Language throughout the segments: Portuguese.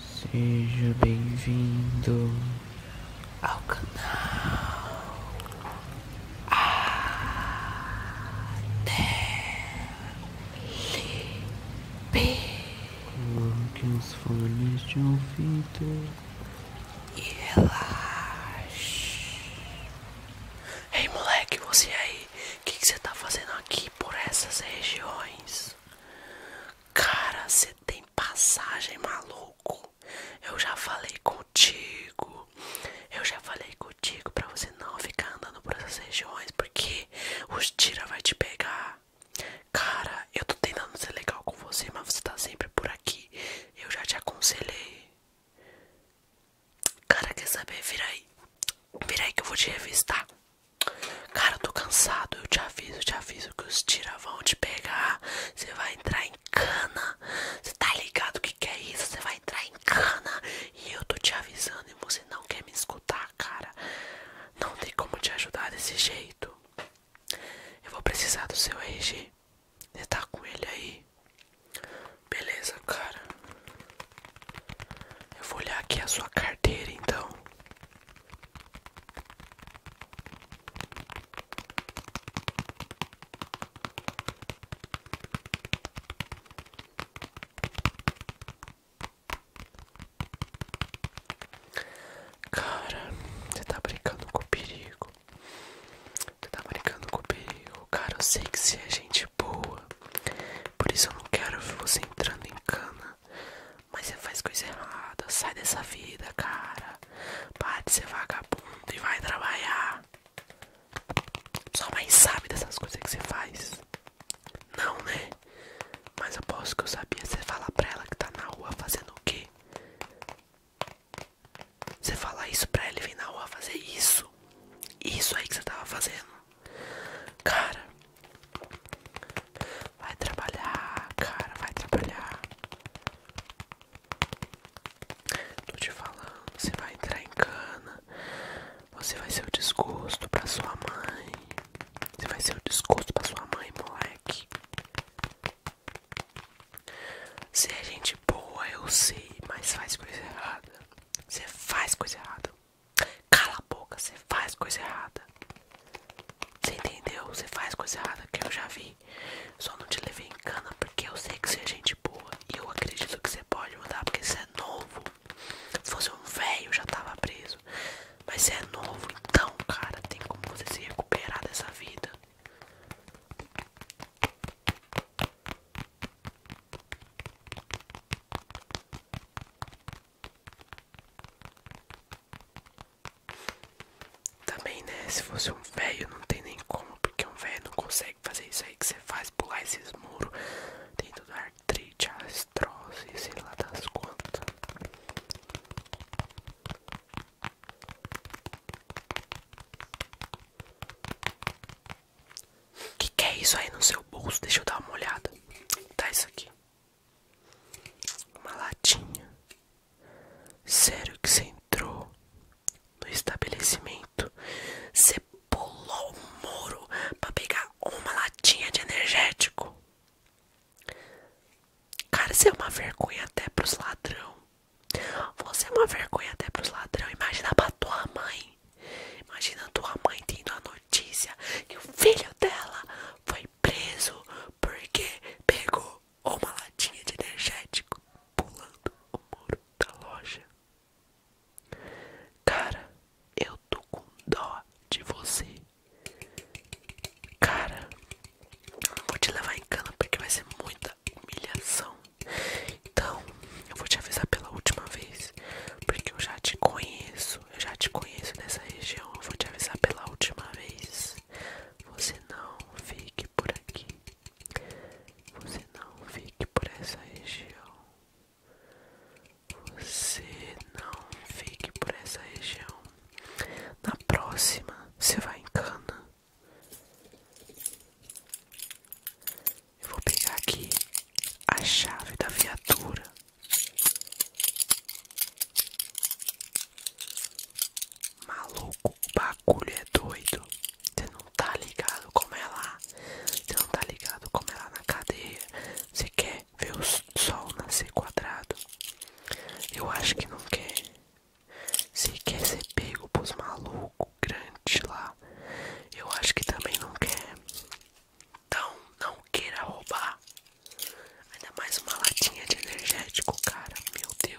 Seja bem-vindo ao canal Até Coloque os fones de ouvido e relaxe. Ei moleque, você aí, o que, você tá fazendo aqui por essas regiões? Cara, você tem passagem maluco. Eu já falei contigo. Eu já falei contigo pra você não ficar andando por essas regiões, porque os tira vai te pegar. Cara, eu tô tentando ser legal com você, mas você tá sempre por aqui. Eu já te aconselhei. Cara, quer saber? Vira aí. Vira aí que eu vou te revistar. Cara, eu tô cansado. Eu te aviso, eu te aviso que os tira vão te pegar. Você vai entrar em cana. Você tá ligado o que, que é isso? Você vai entrar em cana. E eu tô te avisando e você não quer me escutar, cara. Não tem como te ajudar desse jeito. Eu vou precisar do seu RG. Você tá com ele aí? Beleza, cara. Eu vou olhar aqui a sua carteira então. Cara, você tá brincando com o perigo. Tu tá brincando com o comigo, cara. Eu sei que você é gente boa. Por isso eu não quero ver você entrando em cana. Mas você faz coisa errada. Sai dessa vida, cara. Para de ser vagabundo e vai trabalhar. Só mais sabe dessas coisas que você faz. Não, né? Mas eu posso que eu sabia. Você fala pra ela que tá na rua fazendo o quê? Você falar isso pra ele vir na rua fazer isso. Isso aí que você tava fazendo. Cara. Vai trabalhar, cara, vai trabalhar. Tô te falando, você vai entrar em cana. Você vai ser o desgosto pra sua mãe. Você vai ser o desgosto pra sua mãe, moleque. Você é gente boa, eu sei, mas faz coisa errada. Você faz coisa errada. Cala a boca, você faz coisa errada. Você entendeu? Você faz coisa errada que eu já vi. Só não te levei em cana porque eu sei que você é gente boa. E eu acredito que você pode mudar porque você é novo. Se fosse um velho, já tava preso. Mas você é novo, então, cara, tem como você se recuperar dessa vida. Também, né? Se fosse um velho, não tem nem como, porque um velho não consegue fazer isso aí que você faz, pular esses muros. Tem tudo artrite, as astrose, sei lá das quantas. O que é isso aí no seu bolso? Deixa eu dar uma olhada. Tá isso aqui. Uma latinha. Sério que você entrou no estabelecimento? Você pulou o muro pra pegar uma latinha de energético? Cara, isso é uma vergonha até pros ladrão. Você é uma vergonha até pros ladrões. Imagina pra tua mãe. Imagina tua mãe tendo a notícia que o filho dela foi preso porque pegou uma latinha de energético pulando o muro da loja. Cara, eu tô com dó de você. Cara, vou te levar em cana porque vai ser muito humilhação. Então, eu vou te avisar pela última vez, porque eu já te conheço, eu já te conheço nessa região. Eu vou te avisar pela última vez. Você não fique por aqui. Você não fique por essa região. Você não fique por essa região. Na próxima, você vai em Cana vou pegar aqui a chave da viatura. Maluco, o bagulho é doido. Você não tá ligado como é lá. Você não tá ligado como é lá na cadeia. Você quer ver o sol nascer quadrado? Eu acho que não quer. Você quer ser pego pros malucos, grande lá. Eu acho que também não quer. Então, não queira roubar. Ainda mais uma latinha de energético, cara. Meu Deus.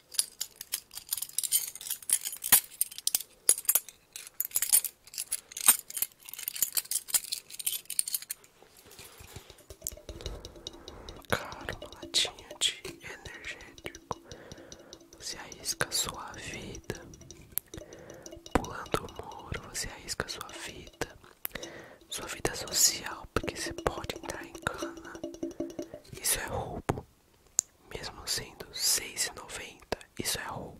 Cara, uma latinha de energético. Você arrisca sua vida. Pulando o muro, você arrisca sua vida. Sua vida social, porque você pode entrar em cana. Isso é roubo. Mesmo sendo R$ 6,90, isso é roubo.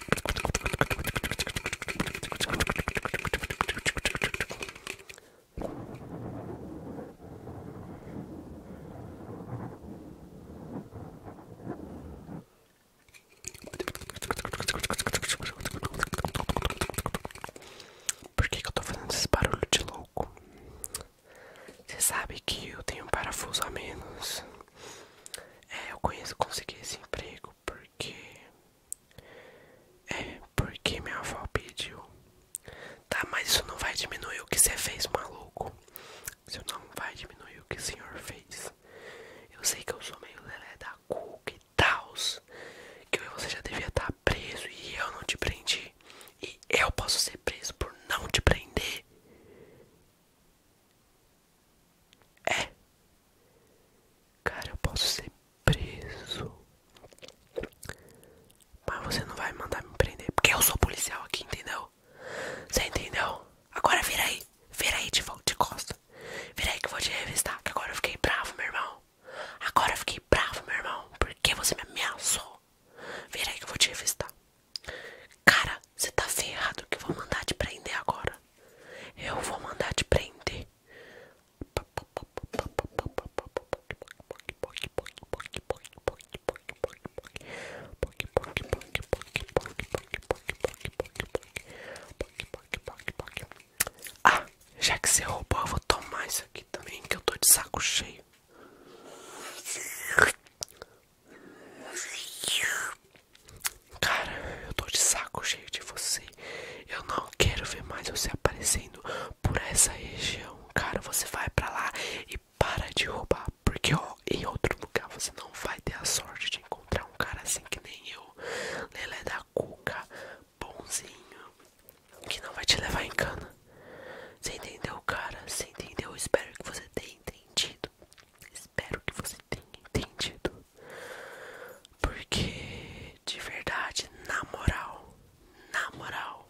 Por que, eu estou fazendo esse barulho de louco? Você sabe que eu tenho um parafuso a menos. É, eu conheço, consegui esse emprego porque é porque minha avó pediu. Tá, mas isso não vai diminuir o que você fez, maluco. Isso não vai diminuir o que o senhor fez. Eu sei que eu sou meio lelé da cuca e tals. Que você já devia estar tá preso e eu não te prendi. E eu posso ser preso por não te prender. É. Cara, eu posso ser preso. Mas você não vai mandar me prender. Porque eu sou policial aqui, entendeu? Você entendeu? Agora vira aí. Vira aí de volta de costa. Vira aí que eu vou te revistar. Que agora eu fiquei bravo, meu irmão. Agora eu fiquei bravo, meu irmão. Porque você me ameaçou. Vira aí que eu vou te revistar. Cara, você tá ferrado que eu vou mandar te prender agora. Eu vou mandar te prender. Ah, já que você roubou, eu vou tomar isso aqui também, que eu tô de saco cheio. Cara, eu tô de saco cheio de você. Eu não quero ver mais você aparecendo por essa região. Cara, você vai pra lá e para de roubar. Porque, ó, em outro lugar você não vai ter a sorte de encontrar um cara assim que nem eu. Lelé da Cuca, bonzinho. Que não vai te levar em cana. Você entendeu, cara? Você entendeu? Espero que você tenha entendido. Espero que você tenha entendido. Porque de verdade, na moral, na moral,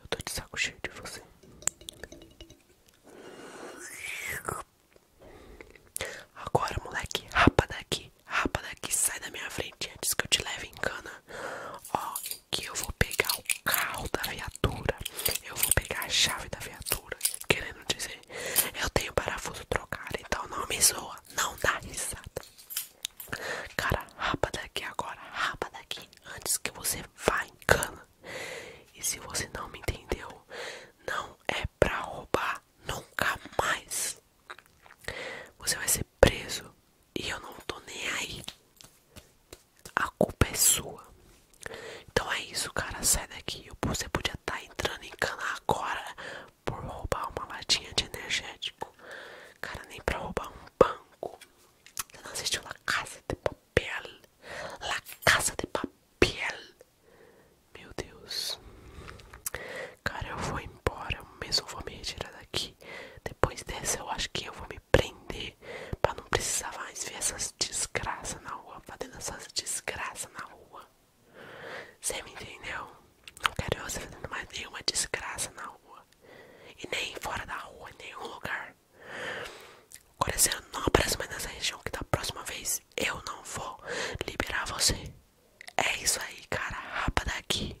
eu tô de saco cheio de você. Agora, moleque, rapa daqui, rapa daqui, sai da minha frente antes que eu te leve em cana. Ó, que eu vou pegar o carro da viatura, eu vou pegar a chave da viatura. Querendo dizer, eu tenho parafuso trocado, então não me zoa não dá risada. Cara, rapa daqui agora, rapa daqui antes que você vá em cana. E se você não me entendeu, não é pra roubar nunca mais. Você vai ser preso e eu não tô nem aí. A culpa é sua. Então é isso, cara. Sai daqui. Você podia estar tá entrando em cana agora, por roubar uma latinha de energético. Cara, nem pra roubar um banco. Você não assistiu La Casa de Papel? La Casa de Papel. Meu Deus. Cara, eu vou embora. Eu mesmo vou me retirar daqui. Depois dessa, eu acho que eu vou me prender. Pra não precisar mais ver essas desgraças na rua. Fazendo essas desgraças na rua. Você me entendeu? Não quero você fazendo mais nenhuma desgraça na rua. E nem fora da rua, em nenhum lugar. Agora nobre, eu não nessa região que da próxima vez eu não vou liberar você. É isso aí, cara. Rapa daqui.